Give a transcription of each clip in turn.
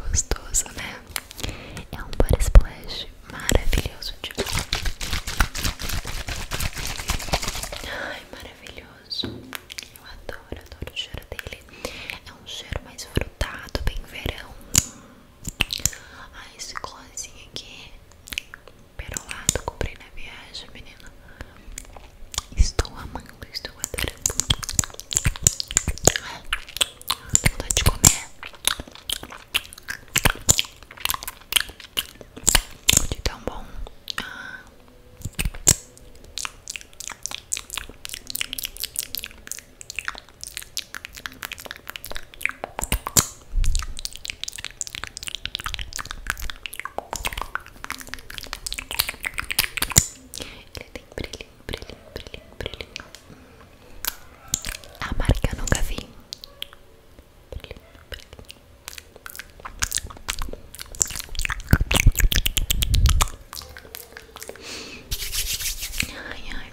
Gostoso, né? É um body splash maravilhoso de Ai, maravilhoso. Eu adoro, adoro o cheiro dele. É um cheiro mais frutado, bem verão. Ah, esse glossinho aqui Perolado, comprei na viagem, menina Estou amando, estou adorando Tenho vontade de comer De tão bom ah. Ele tem brilhinho, brilhinho, brilhinho, brilhinho. A marca nunca vi. Brilhinho, brilhinho. Ai, ai.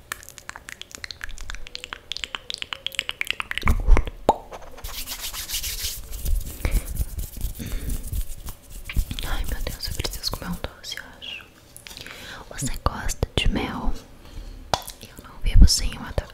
Ai meu Deus, eu preciso comer um doce, acho. Você gosta de mel? Eu não vivo sem um ataque.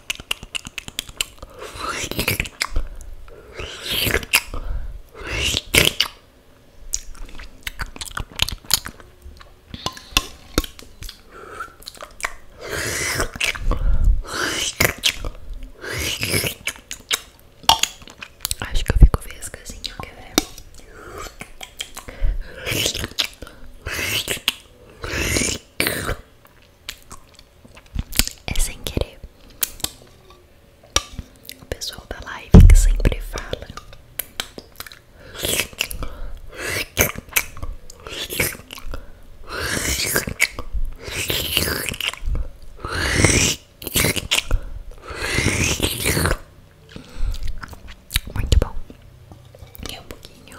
Acho que eu fico vesga assim, ó, é sem querer. O pessoal da live que sempre fala. muito bom, e um pouquinho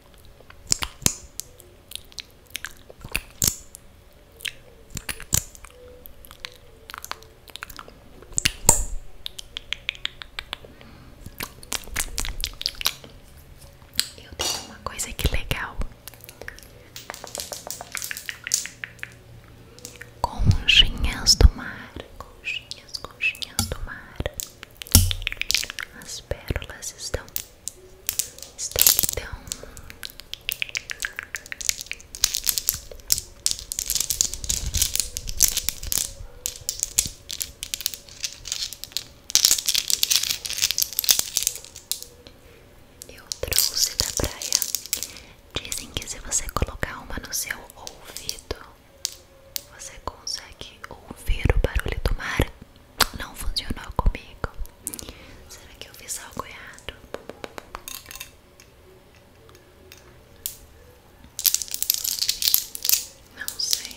Eu tenho uma coisa que legal Conchinhas do mar Conchinhas, conchinhas do mar as pérolas estão estão então eu trouxe da praia. Dizem que se você colocar uma no seu ouvido, você consegue ouvir o barulho do mar? Não funcionou comigo. Será que eu fiz algo errado? Não sei.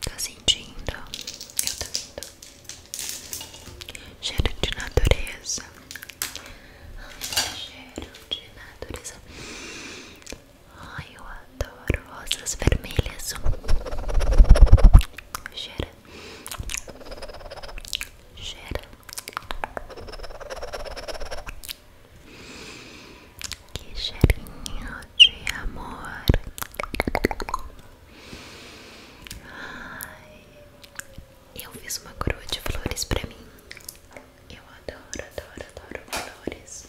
Tá sentindo? Eu tô sentindo Cheiro de natureza cheiro de natureza Ai, eu adoro rosas vermelhas cheiro cheiro que cheirinho de amor. Ai, eu fiz uma coroa de flores pra mim. Eu adoro, adoro, adoro flores.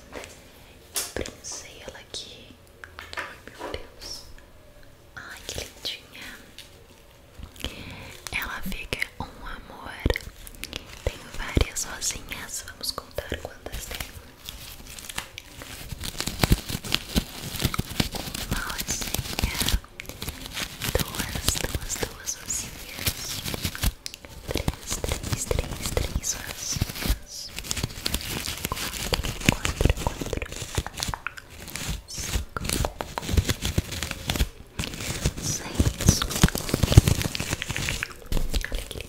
Eu prensei ela aqui. Ai, meu Deus. Ai, que lindinha. Ela fica um amor tem várias rosinhas, vamos contar quantas tem. Uma rosinha, duas, duas, duas rosinhas, três, três, três, três rosinhas, quatro, quatro, quatro, cinco, seis. Olha que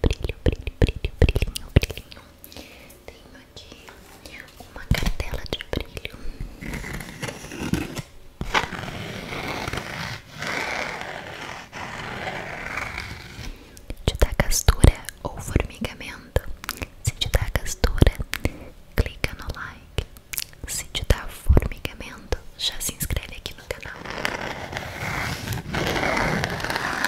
brilho, brilho, brilho, brilhinho, brilhinho. Tenho aqui uma cartela de brilho. Te dá castura ou formigamento? Se te dá castura, clica no like. Se te dá formigamento, já se inscreve aqui no canal.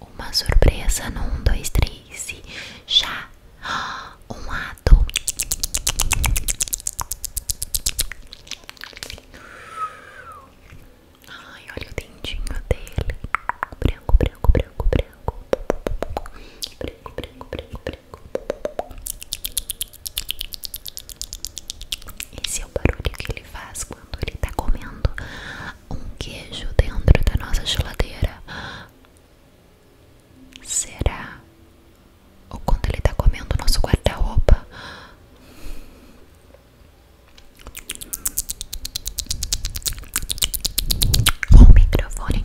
Uma surpresa no 1, 2, 3 e já um ato Ai, olha o dentinho dele Branco, branco, branco, branco Branco, branco, branco, branco Esse é o barulho que ele faz quando ele está comendo um queijo dentro da nossa geladeira. Será? Ou quando ele está comendo o nosso guarda-roupa? Ou o microfone?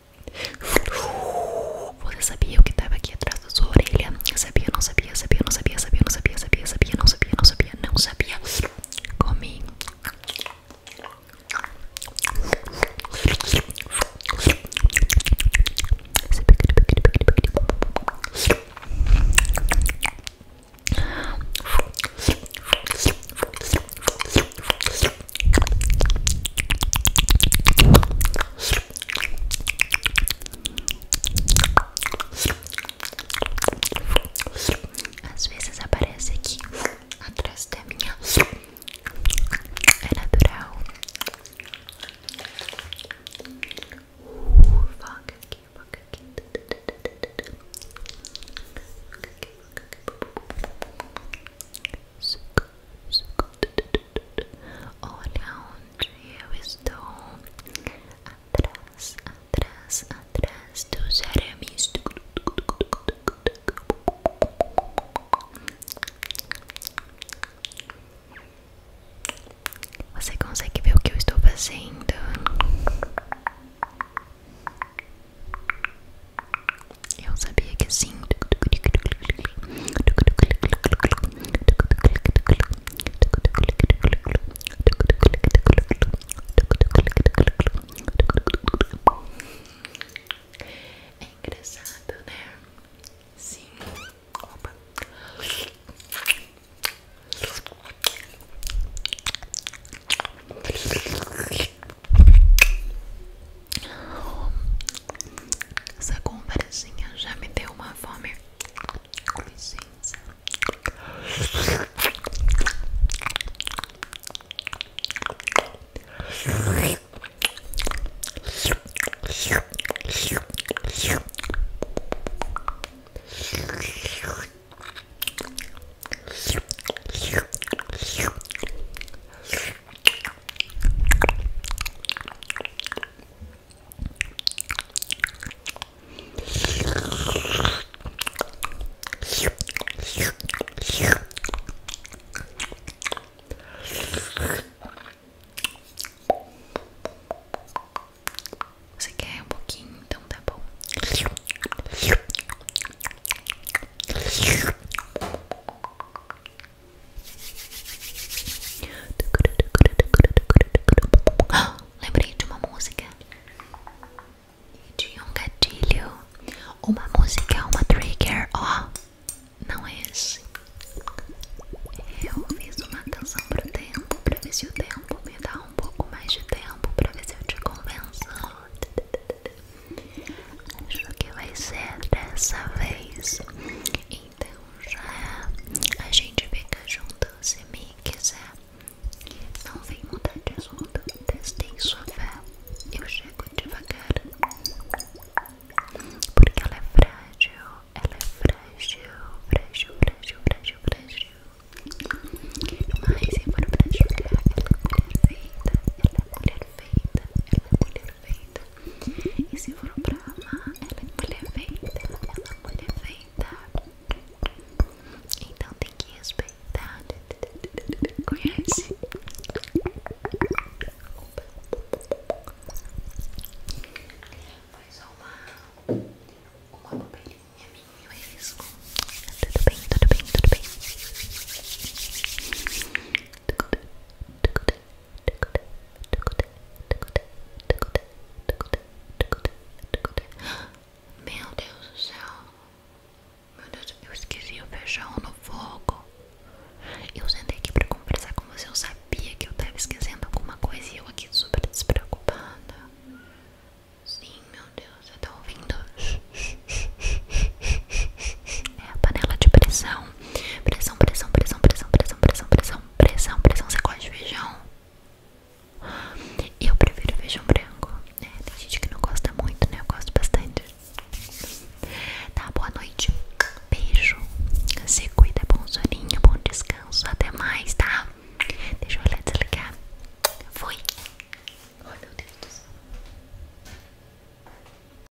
Você sabia o que estava aqui atrás da sua orelha? Sabia, não sabia, sabia, não sabia, sabia, não sabia, sabia, sabia, não sabia, não sabia, não sabia. Comi. Às vezes aparece aqui atrás da minha. É natural. Uh, Foca aqui, foca aqui. Olha onde eu estou atrás, atrás, atrás dos arames. Você consegue ver o que eu estou fazendo? Eu sabia que sim. É engraçado, né? Sim. Opa. Essa conversinha já me deu uma fome. Com licença. Você quer um pouquinho? Então tá bom. Lembrei de uma música e de um gatilho. Uma música, é uma trigger. Ó, não é esse. Eu fiz uma canção pro tempo, pra ver se o tempo me dá um pouco mais de tempo, pra ver se eu te convenço. Acho que vai ser dessa vez. Então já a gente fica junto se me quiser. Não vem mudar de assunto. Testei sua fé. Eu chego devagar. Porque ela é frágil. Ela é frágil. Frágil, frágil, frágil, frágil. Mas se for pra jogar, ela é mulher feita. Ela é mulher feita. Ela é mulher e se for pra amar, ela é mulher feita, ela é mulher feita. Então tem que respeitar. Conhece? Foi só uma, uma bobelinha minha, mas é isso. Tudo bem, tudo bem, tudo bem. Meu Deus do céu. Meu Deus, eu esqueci o feijão no fogo. Eu sentei aqui pra conversar com você. Eu sabia que eu tava esquecendo alguma coisa e eu aqui super despreocupada. Sim, meu Deus, você tá ouvindo? É a panela de pressão. Pressão, pressão, pressão, pressão, pressão, pressão, pressão, pressão, Você gosta de feijão? Eu prefiro feijão branco. É, tem gente que não gosta muito, né? Eu gosto bastante. Tá, boa noite. Beijo. Se cuida, bom soninho, bom descanso. Até mais, tá? Deixa eu desligar. Fui. Ai, oh, meu Deus